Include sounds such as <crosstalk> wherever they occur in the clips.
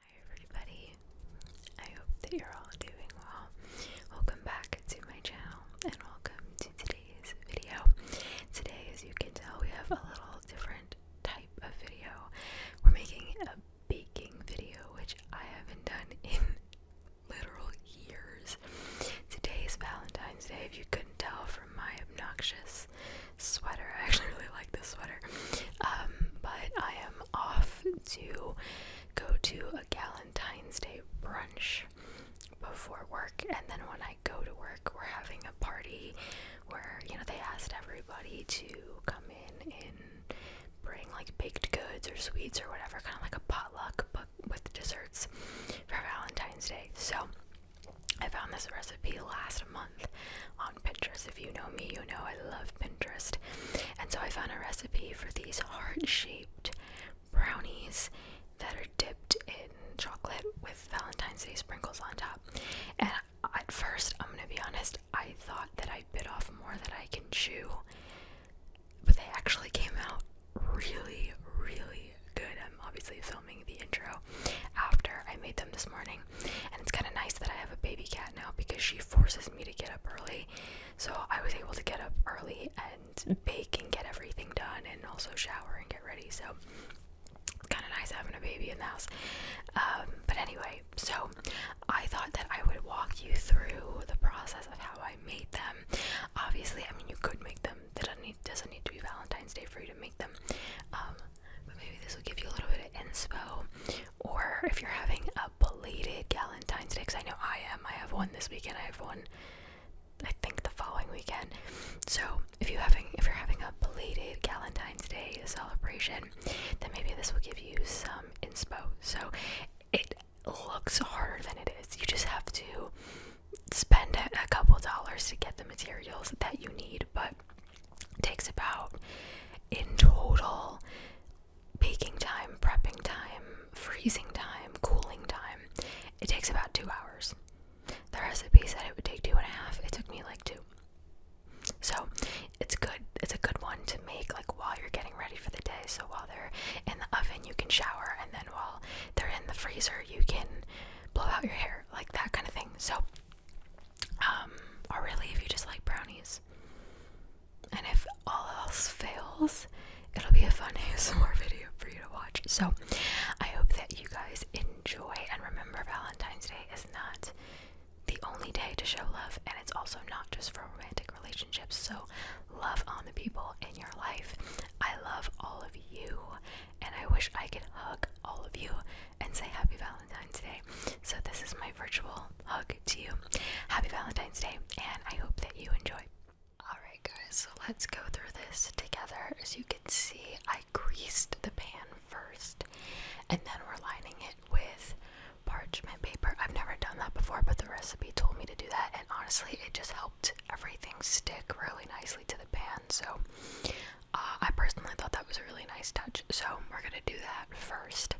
Hi everybody, I hope that you're all doing well. Welcome back to my channel and welcome to today's video. Today, as you can tell, we have a little different type of video. We're making a baking video, which I haven't done in <laughs> literal years. Today is Valentine's Day, if you couldn't tell from my obnoxious sweater. <laughs> I actually really like this sweater. Um, but I am off to go to a Valentine's Day brunch before work, and then when I go to work, we're having a party where you know they asked everybody to come in and bring like baked goods or sweets or whatever, kind of like a potluck but with desserts for Valentine's Day. So I found this recipe last month Pinterest. If you know me, you know I love Pinterest. And so I found a recipe for these heart shaped brownies that are dipped in chocolate with Valentine's Day sprinkles on top. And at first, I'm gonna be honest, I thought that I bit off more than I can chew, but they actually came out really, really good. I'm obviously filming the intro after I made them this morning. And it's kind of nice that I have a baby cat now because she forces me to get up early. So I was able to get up early and bake and get everything done and also shower and get ready. So it's kind of nice having a baby in the house. Um, but anyway, so I thought that I would walk you through the process of how I made them. Obviously, I mean, you could make them. It don't need, doesn't need to be Valentine's Day for you to make them. Um, but maybe this will give you a little bit of inspo. Or if you're having a belated Valentine's Day, because I know I am, I have one this weekend, I have one, I think the following weekend. So if you are having if you're having a belated Valentine's Day celebration, then maybe this will give you some inspo. So it looks harder than it is. You just have to spend a couple dollars to get the materials that you need, but takes about in total baking time, prepping time, freezing time, cooling time. It takes about two hours. The recipe said it would take two and a half. It took me like two. So it's good. It's a good one to make like while you're getting ready for the day. So while they're in the oven, you can shower, and then while they're in the freezer, you can blow out your hair, like that kind of thing. So um, or really if you just like brownies. And if all else fails, it'll be a fun ASMR <laughs> video for you to watch. So I hope that you guys enjoy and remember Valentine's Day is not the only day to show love and it's also not just for romantic relationships. So love on the people in your life. I love all of you and I wish I could hug all of you and say Happy Valentine's Day. So, this is my virtual hug to you. Happy Valentine's Day, and I hope that you enjoy. Alright, guys, so let's go through this together. As you can see, I greased the pan first, and then we're lining it with parchment paper. I've never done that before, but the recipe told me to do that, and honestly, it just helped everything stick really nicely to the pan. So, uh, I personally thought that was a really nice touch, so we're gonna do that first,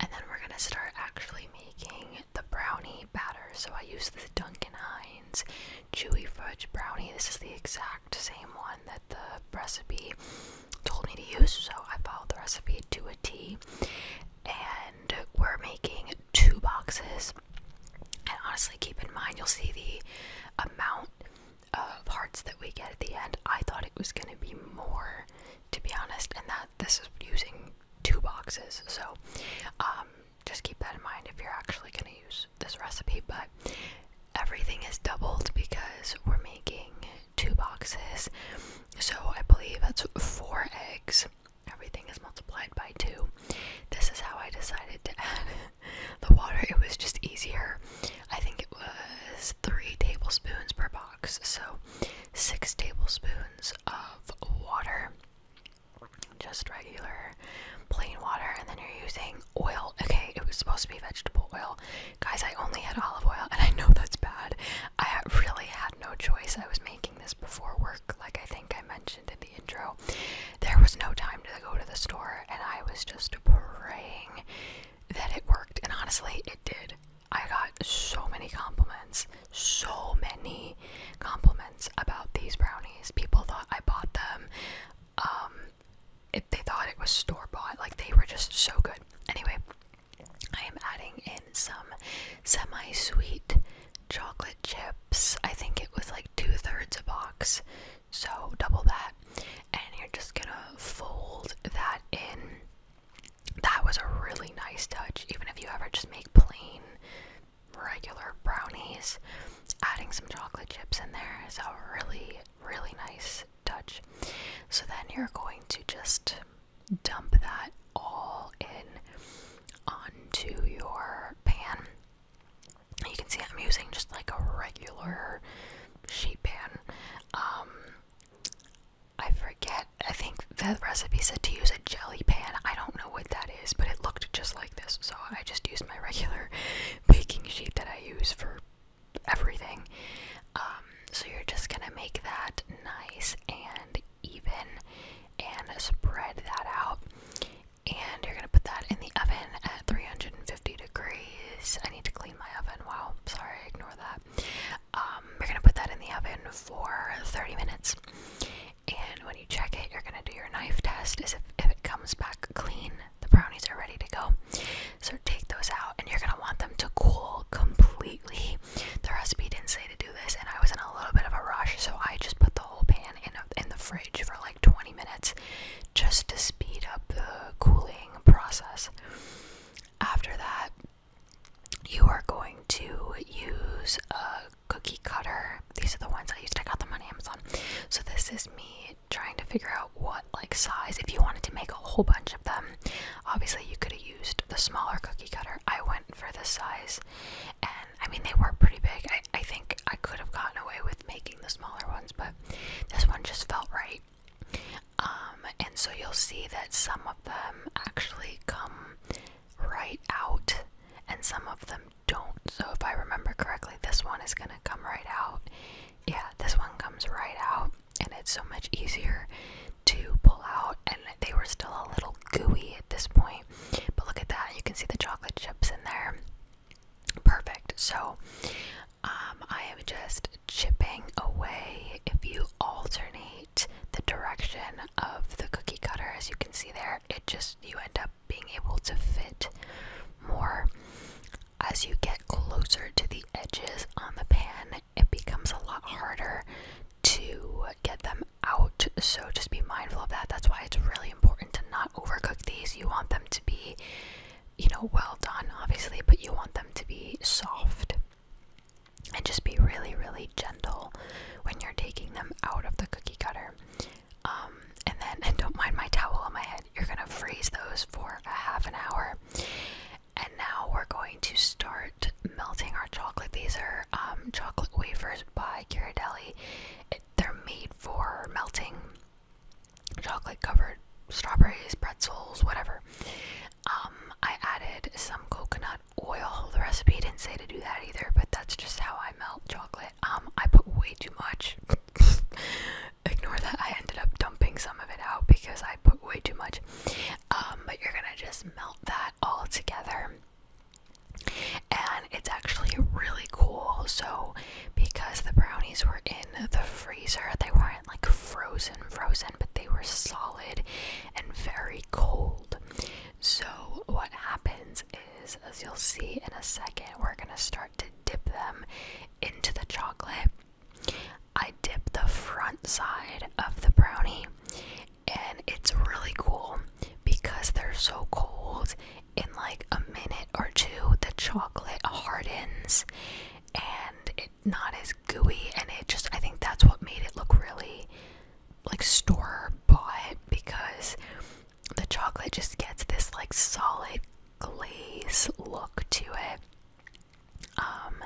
and then we're gonna start actually making the brownie batter. So I use the Duncan Hines chewy fudge brownie. This is the exact same one that the recipe told me to use, so I followed the recipe to a T. And we're making two boxes. And honestly, keep in mind you'll see the amount of hearts that we get at the end. I thought it was going to be more, to be honest, and that this is using two boxes. So um, just keep that in mind if you're actually going to use this recipe. But everything is doubled because we're making two boxes. So I believe that's four eggs. Everything is multiplied by two. This is how I decided to <laughs> add <laughs> the water, it was just easier. I think it was three tablespoons per box, so six tablespoons of water, just regular plain water, and then you're using oil. Okay, it was supposed to be vegetable oil. Guys, I only had olive oil, and I know that's bad. I really had no choice. I was making this before work, like I think. I mentioned in the intro, there was no time to go to the store, and I was just praying that it worked. And honestly, it did. I got so many compliments, so many compliments about these brownies. People thought I bought them. Um, it, they thought it was store bought. Like they were just so good. Anyway, I am adding in some semi sweet chocolate chips. I think it was like two thirds a box, so double that. And you're just gonna fold that in. That was a really nice touch, even if you ever just make plain regular brownies, adding some chocolate chips in there is a really, really nice touch. So then you're going to just dump that all in onto your pan you can see I'm using just like a regular sheet pan. Um, I forget. I think the recipe said to use a jelly pan. I don't know what that is, but it looked just like this. So I just used my regular <laughs> baking sheet that I use for everything. Um, so you're just gonna make that nice and even and spread that out and you're gonna put that in the oven at 350 degrees. I need to clean my oven. Wow, sorry, ignore that. Um, you're gonna put that in the oven for 30 minutes, and when you check it, you're gonna do your knife test. Is if, if it comes back clean, the brownies are ready to go. So take those out, and you're gonna want them to cool completely. The recipe didn't say to do this and I was in a little bit of a rush, so I just put the whole pan in in the fridge for like 20 minutes just to speed up the cooling process. After that, you are going to use a cookie cutter. These are the ones I used. I got them on Amazon. So this is me trying to figure out what like size. If you wanted to make a whole bunch of them, obviously you could have used the smaller cookie cutter. I went for this size, and I mean, they were pretty big. I, I think I could have gotten away with making the smaller ones, but this one just felt right. Um, and so you'll see that some of them actually come right out and some of them don't. So if I remember correctly, this one is going to come right out. Yeah, this one comes right out and it's so much easier to pull out and they were still a little gooey at this point but look at that. You can see the chocolate chips in there. Perfect. So um, I am just chipping away. If you alternate the direction of the cookie cutter, as you can see there, it just, you end up being able to fit more. As you get closer to the edges on the pan, it becomes a lot harder to get them out so just be mindful of that that's why it's really important to not overcook these you want them to be you know well done obviously but you want them to be soft and just be really really gentle when you're taking them out of the cookie cutter um, and then and don't mind my towel on my head you're gonna freeze those for a half an hour and now we're going to start melting our chocolate. These are um, chocolate wafers by Ghirardelli. they're made for melting chocolate covered strawberries, pretzels, whatever. Um, I added some coconut oil. The recipe didn't say to do that either, but that's just how I melt chocolate. Um, I put way too much. <laughs> Ignore that. I ended up dumping some of it out because I put way too much. but you're gonna just melt that all together. And it's actually really cool. So, because the brownies were in the freezer, they weren't like frozen, frozen, but they were solid and very cold. So, what happens is, as you'll see in a second, we're gonna start to dip them into the chocolate. I dip the front side of the brownie and it's really cool because they're so cold in like a minute or two the chocolate hardens and it's not as gooey and it just i think that's what made it look really like store bought because the chocolate just gets this like solid glaze look to it um,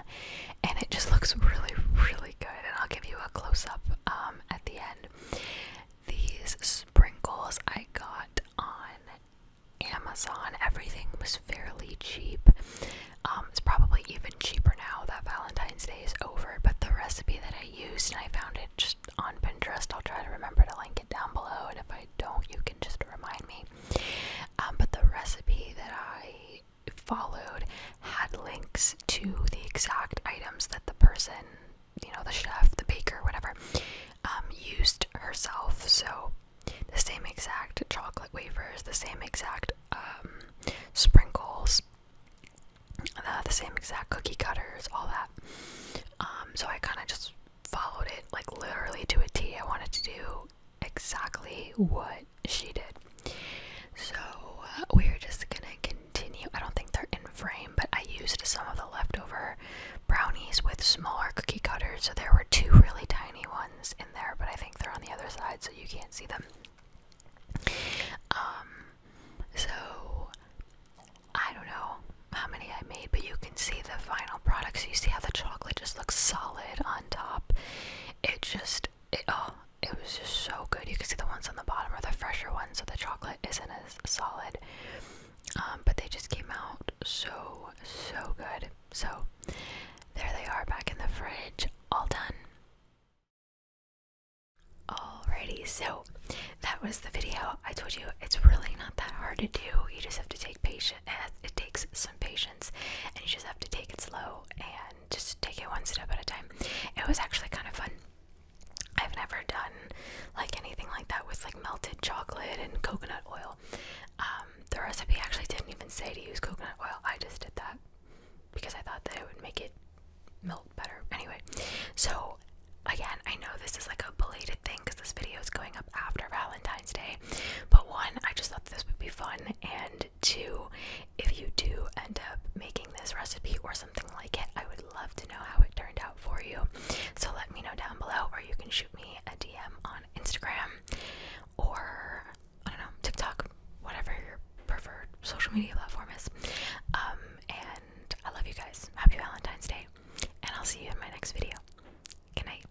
and it just looks really, really good. And I'll give you a close up um, at the end. These sprinkles I got on Amazon. Everything was fairly cheap. Um, it's probably even cheaper now that Valentine's Day is over. But the recipe that I used, and I found it just on Pinterest. I'll try to remember to link it down below. And if I don't, you can just remind me. Um, but the recipe that I followed had links to the exact items that the person, you know, the chef, the baker, whatever, um, used herself. So the same exact chocolate wafers, the same exact um, sprinkles, uh, the same exact cookie cutters, all that. Um, so I kind of just followed it like literally to a T. I wanted to do exactly what she did. So uh, we're just gonna continue. I don't think they're in frame, but I used some of the leftover brownies with smaller cookie cutters. So there were two really tiny ones in there, but I think they're on the other side, so you can't see them. Um, so I don't know how many I made, but you can see the final product. So you see how the chocolate just looks solid on top. It just it, oh, it was just so good. You can see the ones on the bottom are the fresher ones, so the chocolate isn't as solid. Um, but they just came out so, so good. So there they are back in the fridge, all done. Alrighty, so that was the video. I told you it's really not that hard to do. You just have to take patience it takes some patience and you just have to take it slow and just take it one step at a time. It was actually kind of fun. I've never done like anything like that with like melted chocolate and coconut oil. Um, the recipe actually didn't even say to use coconut oil. I just did that because I thought that it would make it melt better. Anyway, so again, I know this is like a belated thing because this video is going up after Valentine's Day, but one, I just thought this would be fun and two, if you do end up making this recipe or something like it, I would love to know how it turned out for you. So let me know down below, or you can shoot me a DM on Instagram or I don't know, TikTok, whatever your preferred social media platform is. Um, and I love you guys. Happy Valentine's Day, and I'll see you in my next video. Good night.